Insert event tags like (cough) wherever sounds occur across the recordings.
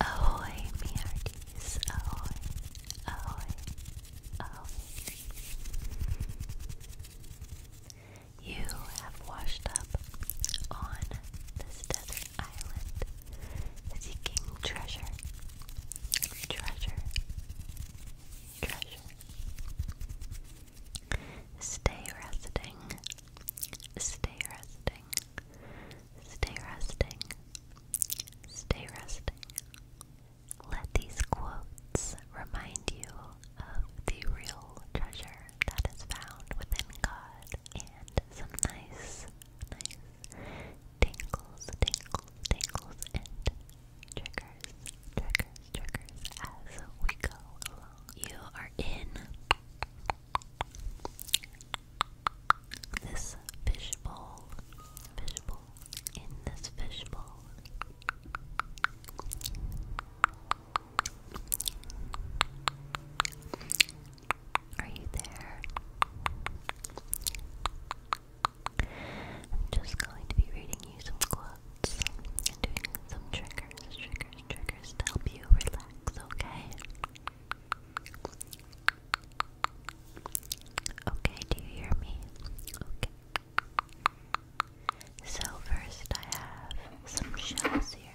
Ahoy, mearties. Ahoy, ahoy, ahoy. You have washed up on this desert island seeking treasure. Treasure. Treasure. Stay resting. Stay resting. Stay resting. Stay resting. Let these quotes remind you of the real treasure that is found within God, and some nice, nice tingles, tingles, tingles, and triggers, triggers, triggers as we go along. You are in this fishbowl, fishbowl, in this fishbowl. Are you there? I'm just going to be reading you some quotes and doing some triggers, triggers, triggers to help you relax, okay? Okay, do you hear me? Okay. So, first, I have some shells here.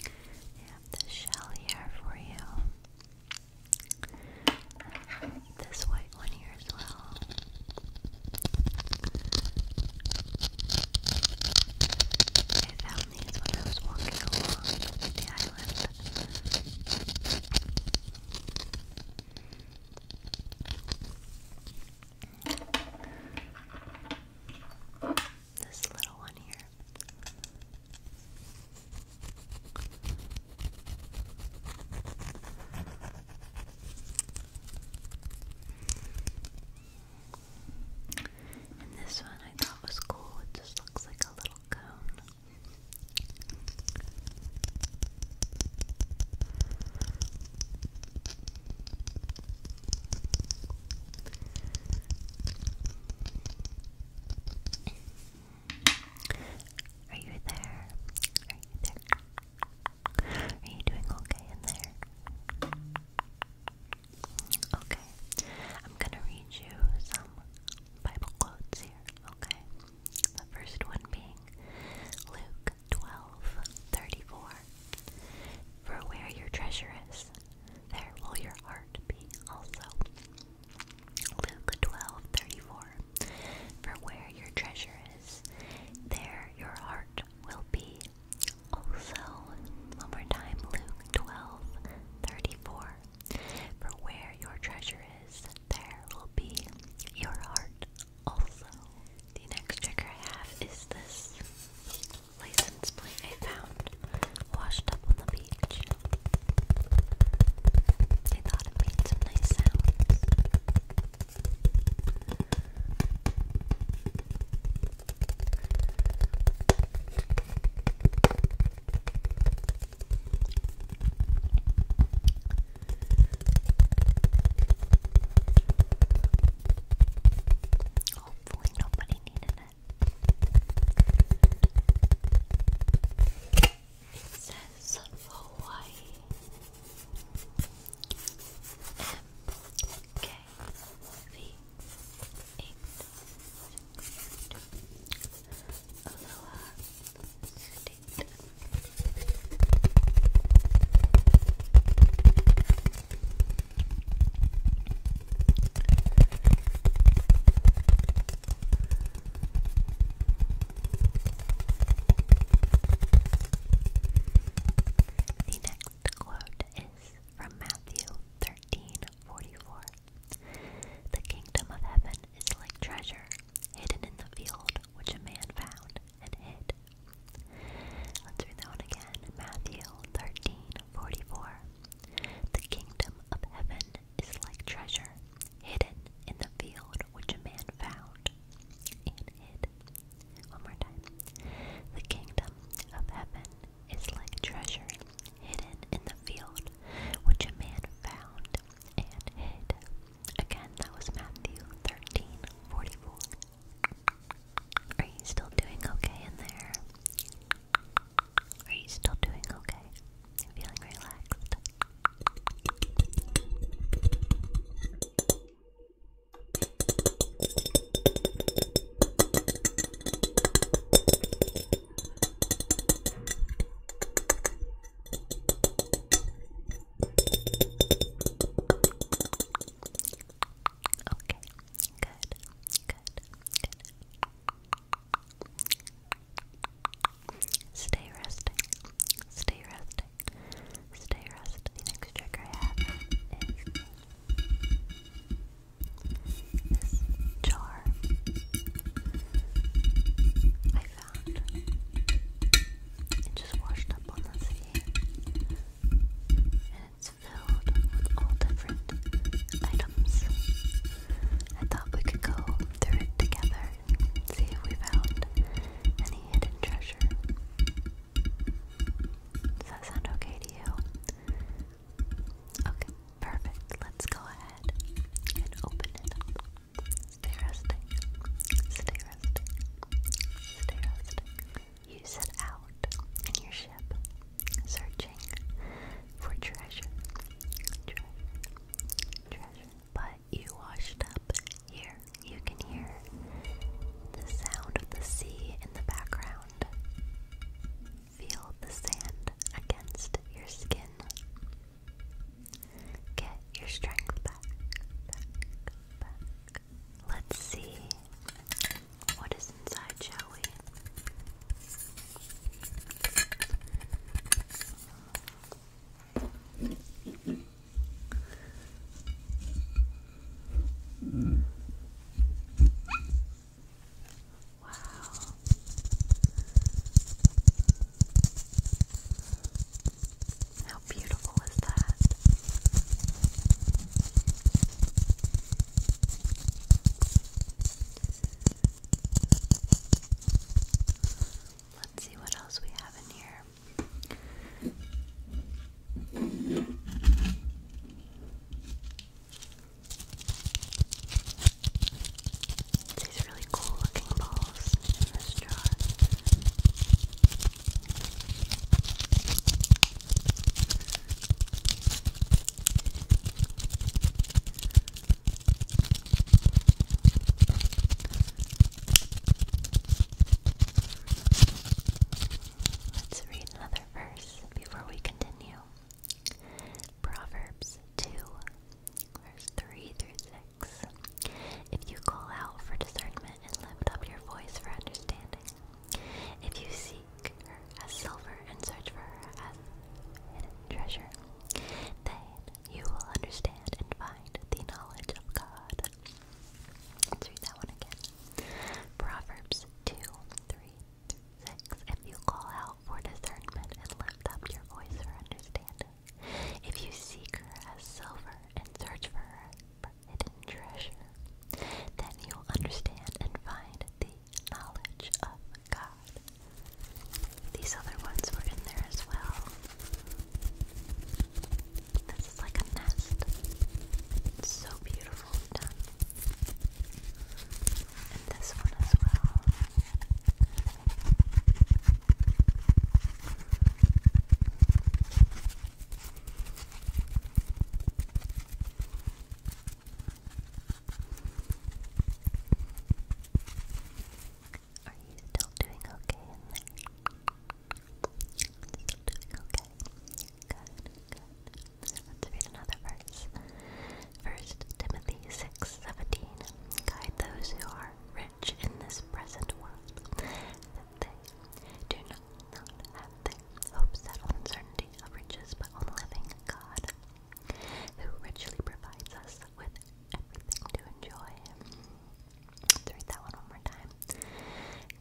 I have this shell here for you. this white one here as well. found these when I was walking along the island. This little one here. And this one I thought was cool. It just looks like a little cone. Are you there? Are you there? Are you doing okay in there? Okay. I'm gonna read you some Bible quotes here, okay? The first one being Luke Luke 12:34. For where your treasure is, there will your heart be also. Luke 12:34. For where your treasure is, there your heart will be also. One more time, Luke 12:34. For where your treasure is, there will be your heart also, the next trigger I have is this license plate I found washed up on the beach. I thought it made some nice sounds. Hopefully, nobody needed it. It says Hawaii. M K V eight six two State. The next quote is from Matthew 13:44. The kingdom of heaven is like treasure hidden in the field which a man found and hid. Let's read that one again. Matthew 13 The kingdom of heaven is like treasure hidden in the field which a man found and hid. One more time. The kingdom of heaven is like treasure hidden in the field which a man found and hid. Again, that was Matthew 13 are you still doing okay in there? Are you still doing okay? Feeling relaxed? Okay, good, good, good. Stay resting, stay resting, stay resting. The next trick I have is this jar I found. It just washed up on the sea it's filled with all different items. I thought we could go through it together see if we found any hidden treasure. Does that sound okay to you? Okay, perfect. Let's go ahead and open it Stay resting. Stay you set out in your ship, searching for treasure. Treasure. Treasure. But you washed up here. You can hear the sound of the sea in the background. Feel the sand against your skin. Get your strength back, Let's see what is inside, shall we? Wow. How beautiful is that? Let's see what else we have in here. These really cool looking balls in this jar. Let's read another verse before we continue. Proverbs 2, verse 3 through 6. If you call out for discernment and lift up your voice for understanding, if you seek a silver and search for a hidden treasure, then you will understand and find the knowledge of God. Let's read that one again. Proverbs 2 If you call out for discernment and lift up your voice for understanding, if you seek her as silver and search for her hidden treasure, then you will understand and find the knowledge of God. These other ones were in there as well. This is like a nest. so beautiful done. And this one as well. Are you still doing okay in there? Still doing okay. Let's read another verse. First Timothy six seventeen. Guide those who are rich in this present world that they do not, have their hopes that uncertainty of riches, but on living God, who richly provides us with everything to enjoy. Let's read that one one more time.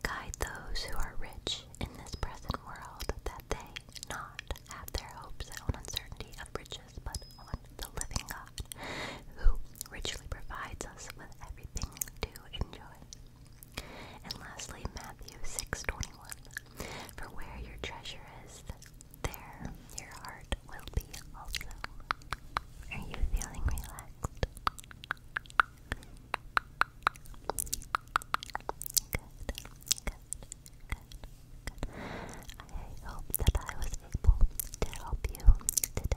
Guide those who are rich in this present world that they not have their hopes on uncertainty of riches, but on the living God, who richly provides us with everything to enjoy. And lastly, Matthew 6:21, for where your treasure is, there your heart will be also. Are you feeling relaxed? Good, good, good, good. I hope that I was able to help you today.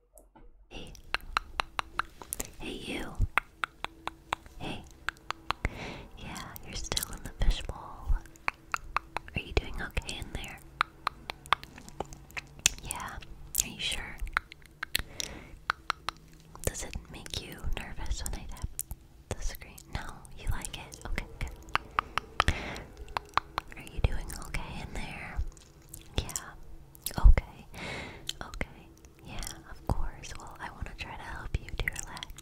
Hey. Hey, you. Hey. Yeah, you're still in the fishbowl. Are you doing okay in there? Yeah, are you sure? Does it make you nervous when I tap the screen? No, you like it? Okay, good. Are you doing okay in there? Yeah. Okay. Okay. Yeah, of course. Well, I want to try to help you to relax.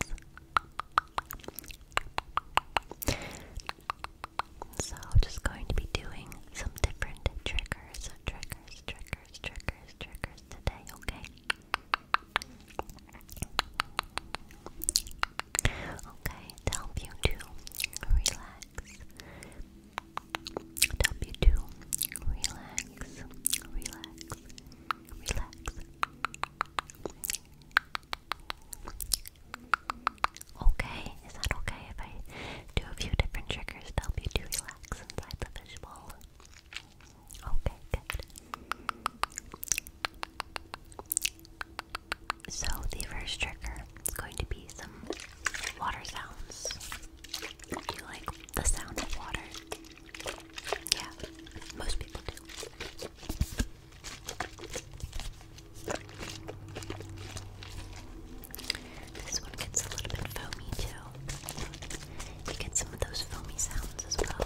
So, just going to be doing some different triggers, triggers, triggers, triggers, triggers today, okay? Okay, to help you to relax, help you to relax, relax, relax. Okay, is that okay if I do a few different triggers help you to relax inside the fishbowl? Okay, good. So, the first trigger is going to be some water sounds. Do you like the sound of water? Yeah, most people do. This one gets a little bit foamy too. You get some of those foamy sounds as well.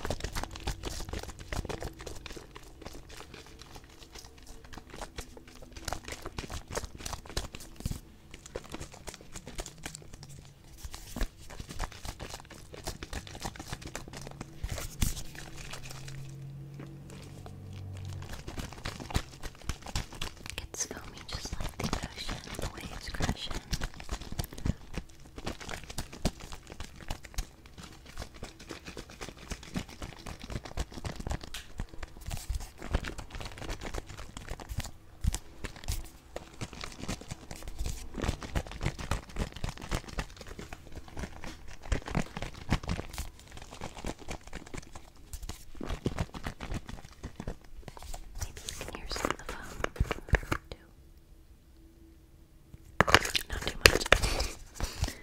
It's foamy just like the ocean, the waves crashing. Maybe you can hear some of the foam too. Not too much. Okay, then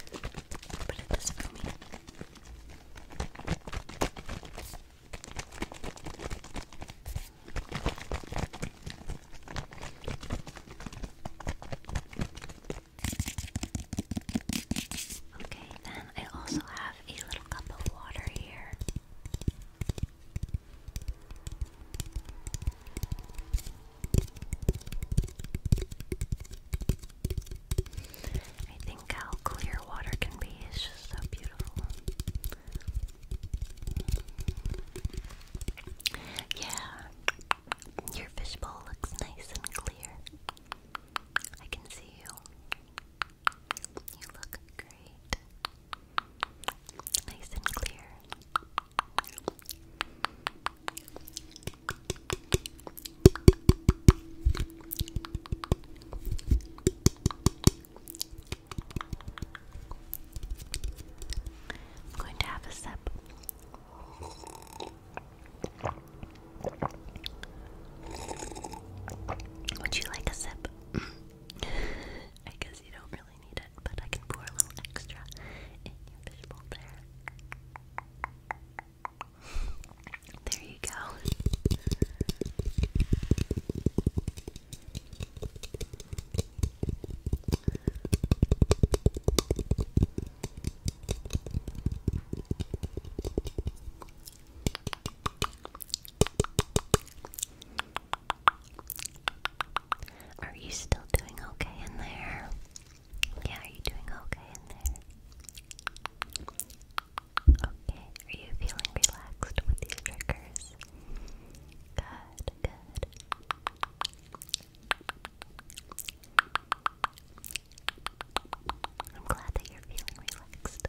I also have a little cup of water here. I think how clear water can be is just so beautiful. Yeah, your fishbowl looks nice and clear. I can see you. You look great. Nice and clear. I'm going to have a sip. Would you like a sip? (laughs) I guess you don't really need it, but I can pour a little extra in your fishbowl there. There you go. Are you still doing okay in there? Yeah, are you doing okay in there? Okay, are you feeling relaxed with these triggers? Good, good. I'm glad that you're feeling relaxed.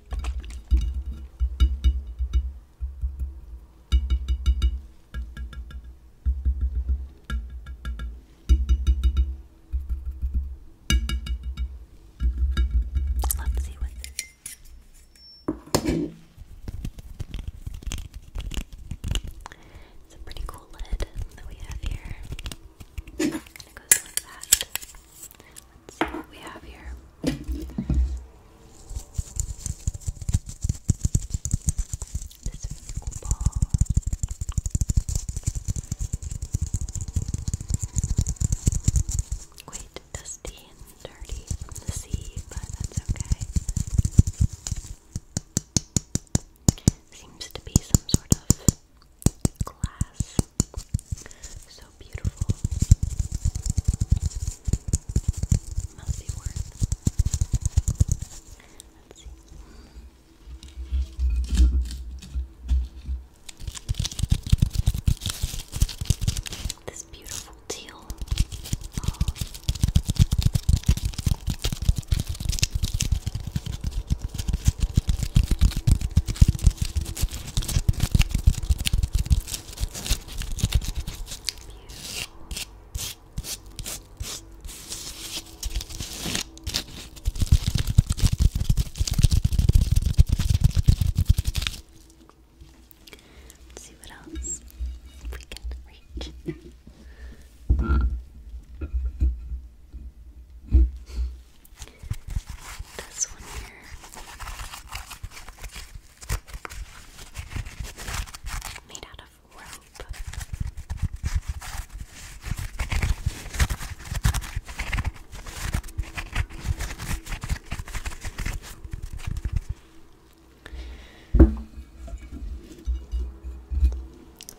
Let's see what this it's a pretty cool lid that we have here. It goes like that what we have here. This physical ball. Quite dusty and dirty from the but that's okay. Seems to be some sort of glass so beautiful. Must be worth. This beautiful teal. Let's see what else we can reach. (laughs) This one here. Made out of rope.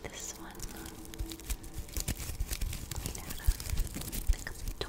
This one made out of like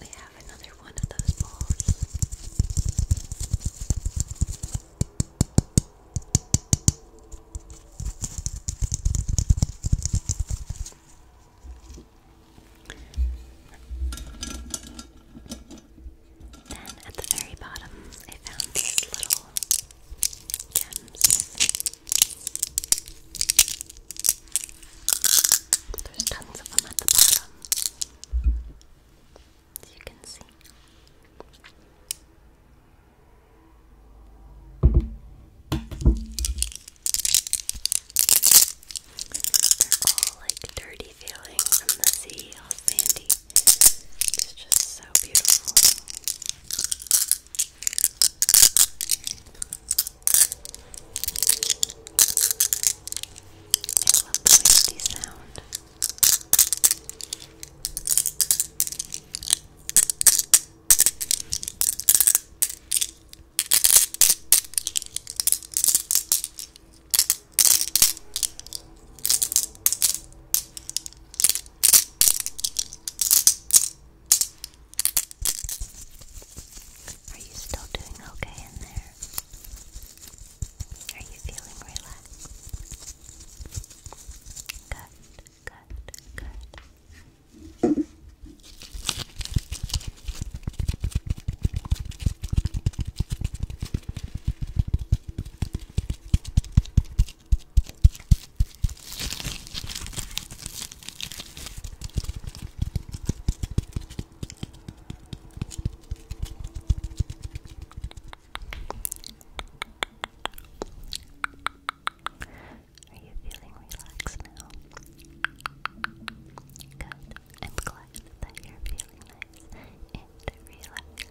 We have another one of those balls. Then at the very bottom, I found these little gems. There's tons of them at the bottom, you can see. They're all like dirty feeling from the sea, all sandy. It's just so beautiful love the windy sound. I are you still doing okay in there? Are you feeling relaxed? Good, good, good. Are you feeling relaxed now? I'm glad that you're feeling nice and relaxed.